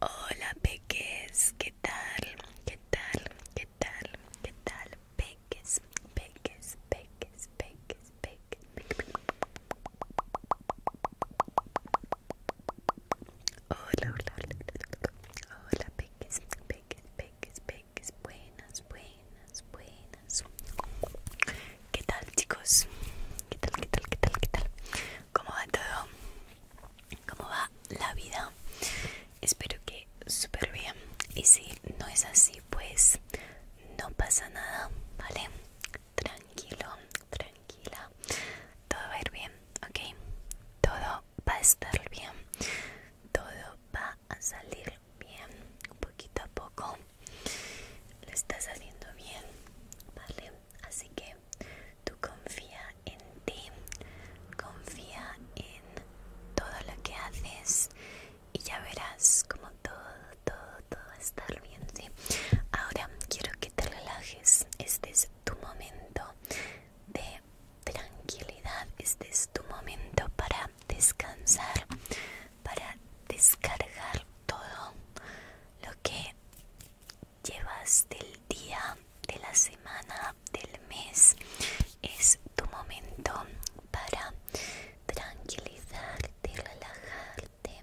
Hola peques, ¿qué tal? ¿Qué tal? ¿Qué tal? ¿Qué tal? Peques, peques, peques, peques, peques. Hola, hola, hola, hola, hola, peques, peques, peques, peques, buenas, buenas, buenas. ¿Qué tal, chicos? ¿Qué tal, qué tal, qué tal, qué tal? ¿Cómo va todo? ¿Cómo va la vida? Espero que súper bien. Y si no es así, pues no pasa nada, ¿vale? Tranquilo, tranquilo tranquila. Todo va a ir bien, ¿ok? Todo va a estar bien. Todo va a salir bien, poquito a poco. Lo estás haciendo bien, ¿vale? Así que tú confía en ti, confía en todo lo que haces y ya verás como todo, todo, todo va a estar bien, ¿sí? Ahora quiero que te relajes, estés tu momento de tranquilidad, este es tu momento para descansar, para descargar todo lo que llevas del día, de la semana, del mes. Es tu momento para tranquilizarte, relajarte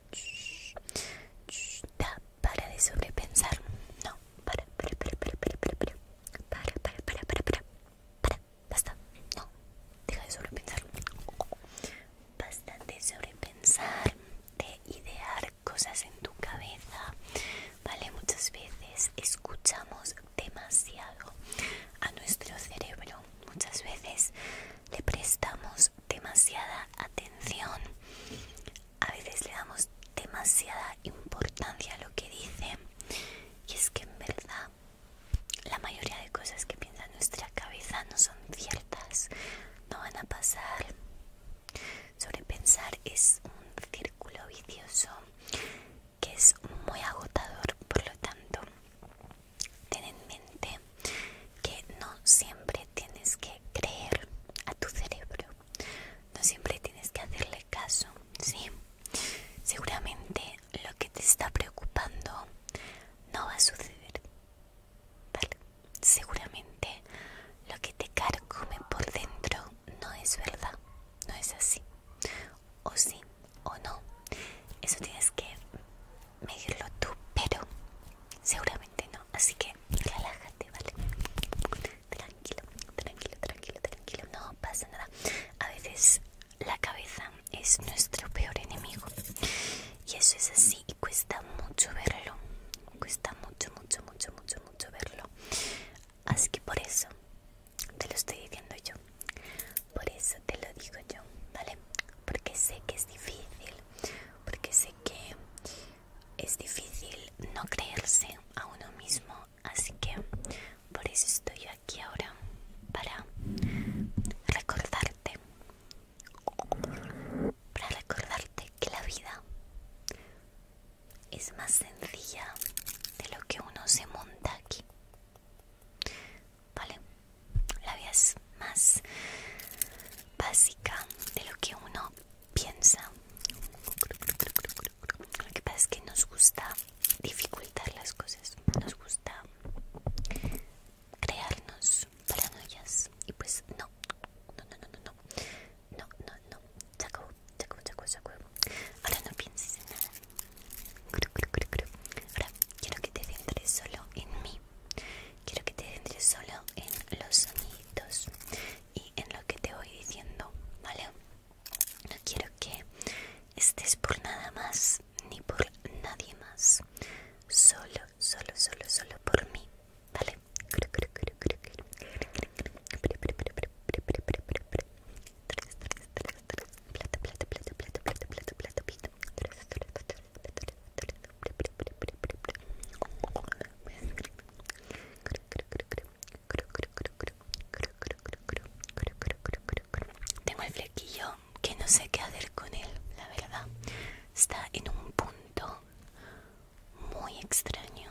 para de sobrepensar. No, para, para, para, para, para, para, para, para, para, para, para, para, para, basta. No, deja de sobrepensar. Basta de sobrepensar, de idear cosas en tu cabeza. Vale, muchas veces escuchamos demasiado a nuestro cerebro. Muchas veces le prestamos demasiada atención, a veces le damos demasiada importancia a lo que dice y es que en verdad la mayoría de cosas que piensa nuestra cabeza no son ciertas, no van a pasar. Sobrepensar es un círculo vicioso que es muy agotador, por lo tanto ten en mente que no siempre tienes que creer a tu cerebro, no siempre tienes que hacerle caso, ¿sí? Seguramente lo que te está preocupando no va a suceder, ¿vale? Seguramente lo que te carcome por dentro no es verdad, no es así, o sí o no, eso tienes que medirlo tú, pero seguramente no. Así que relájate, ¿vale? Tranquilo, tranquilo, tranquilo, tranquilo. No pasa nada. A veces la cabeza es nuestro peor enemigo. Y eso es así y cuesta mucho verlo. Cuesta mucho, mucho, mucho, mucho, mucho verlo. Así que por eso te lo estoy diciendo yo. Por eso te lo digo yo, ¿vale? Porque sé que es difícil, porque sé que es difícil no creerse a uno mismo, así que por eso estoy aquí ahora, para recordarte, para recordarte que la vida es más sencilla de lo que uno se monta aquí. Vale, la vida es más básica de lo que uno piensa. Lo que pasa es que nos gusta dificultar las cosas, nos gusta crearnos paranoias y pues no, no, no, no, no, no, no, no, no, no, no no, no, Ahora no pienses en nada, Ahora quiero que te centres solo en mí. Quiero que te centres solo en los sonidos y en lo que te voy diciendo, ¿vale? No quiero que estés por nada más ni por nadie más. Solo, solo, solo, solo por mí, ¿vale? plata, plata, plata, plata, plata, plata, plata, plata. Tengo el flequillo que no sé qué hacer con él, la verdad. Está en un punto muy extraño.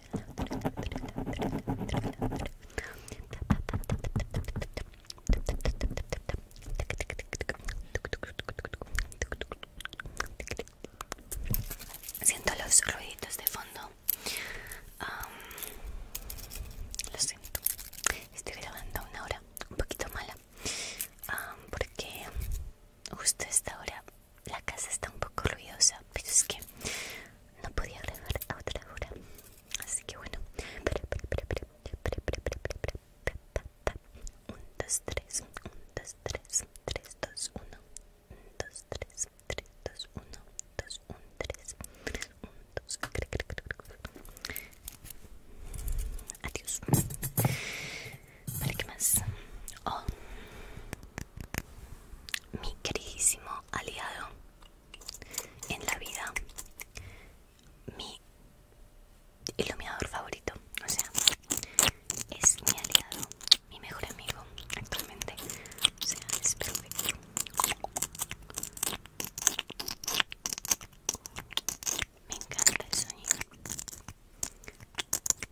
Siento los ruiditos de fondo. lo siento. Estoy grabando una hora un poquito mala. porque justo esta hora la casa está un poco ruidosa, pero es que no podía a otra hora. Así que bueno. Un, dos, tres, un, dos, tres, tres, dos, dos, tres, tres, dos, dos, tres, adiós. Vale, ¿qué más? Oh, mi queridísimo aliado en la vida, mi iluminador favorito, o sea, es mi aliado, mi mejor amigo actualmente, o sea, es perfecto. Me encanta el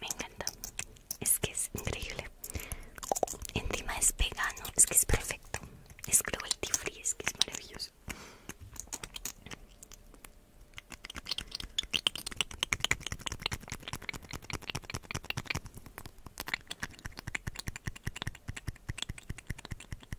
Me encanta. Es que es increíble. Encima es vegano. Es que es perfecto. Es cruelty free. Es que es maravilloso.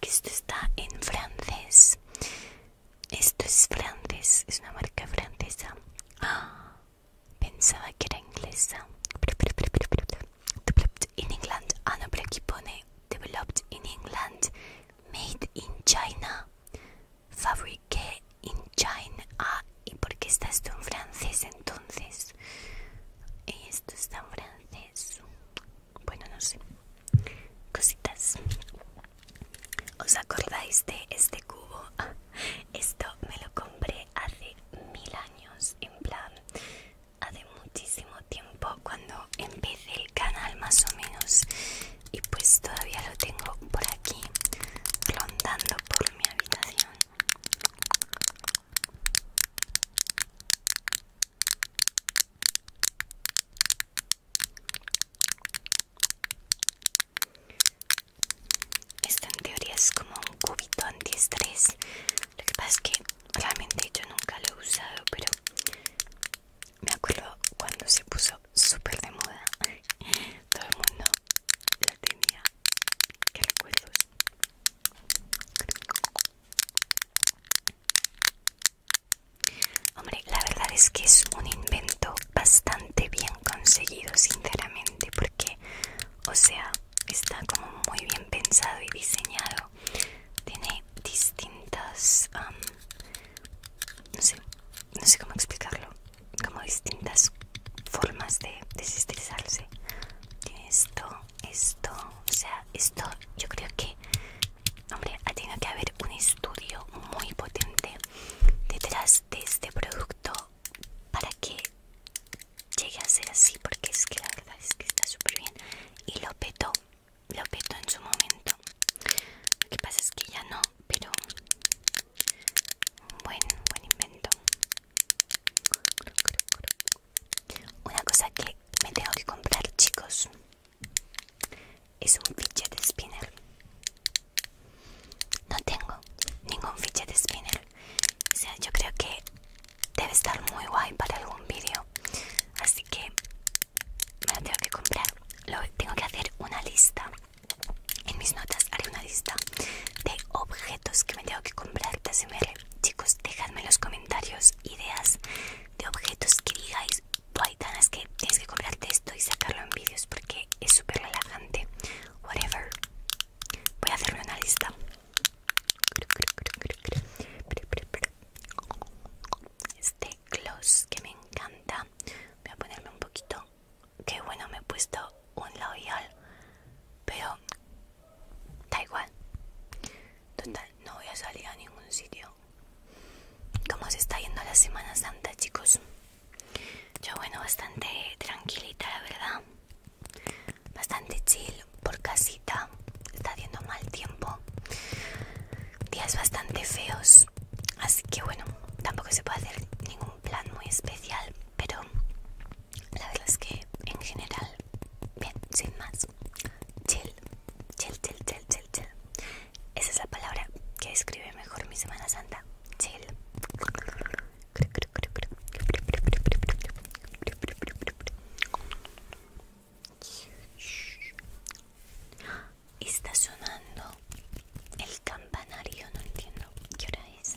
que esto está en francés. Esto es francés, es una marca francesa. Ah, pensaba que era inglesa. In England. Ah, no, pero aquí pone Developed in England. Made in China. Fabriqué in China. Ah, ¿y por qué está esto en francés entonces? Esto está en francés bueno no sé cositas os acordáis de este cubo esto me lo compré hace mil años en plan hace muchísimo tiempo cuando empecé el canal más o menos y pues todavía lo tengo por aquí rondando por mi habitación esto en teoría es como un cubito antiestrés. Lo que pasa es que realmente yo nunca lo he usado, pero me acuerdo cuando se puso súper de moda. Todo el mundo la tenía. Qué recuerdos. Hombre, la verdad es que es un invento bastante bien conseguido, sinceramente, porque, o sea, está como muy bien pensado y diseñado. Tiene distintas, no sé, no sé cómo explicarlo, como distintas formas de desestresarse. Tiene esto, esto, o sea, esto yo creo que, hombre, ha tenido que haber un estudio muy potente detrás de este producto para que llegue a ser así, porque es que la verdad es que está súper bien y lo petó, lo petó en su momento. Lo que pasa es que ya no, pero buen, buen invento. Una cosa que me tengo que comprar, chicos, es un fichet spinner. No tengo ningún fichet spinner. O sea, yo creo que debe estar muy guay para algún vídeo. Así que me lo tengo que comprar. tengo que hacer una lista. En mis notas haré una lista de objetos que me tengo que comprar de ASMR Chicos, dejadme en los comentarios ideas de objetos que digáis ganas que tienes que comprarte esto y sacarlo en vídeos porque es súper relajante Whatever Voy a hacerme una lista Este gloss que me encanta Voy a ponerme un poquito Que bueno, me he puesto un labial Pero Da igual. Total, no voy a salir a ningún sitio. ¿Cómo se está yendo la Semana Santa, chicos? Yo, bueno, bastante tranquilita, la verdad. Bastante chill, por casita. Está haciendo mal tiempo. Días bastante feos. Así que, bueno, tampoco se puede hacer ningún plan muy especial. Pero la verdad es que en general, bien, sin más, chill, chill, chill, chill, chill, chill. Esa es la palabra que describe mejor mi Semana Santa, chill. Está sonando el campanario, no entiendo qué hora es,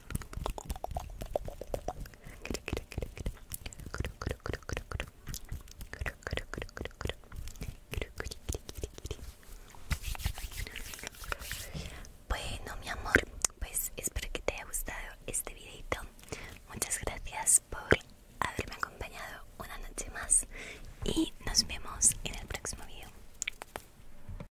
Bueno, mi amor, pues espero que te haya gustado este videito. Muchas gracias por haberme acompañado una noche más y nos vemos en el próximo video.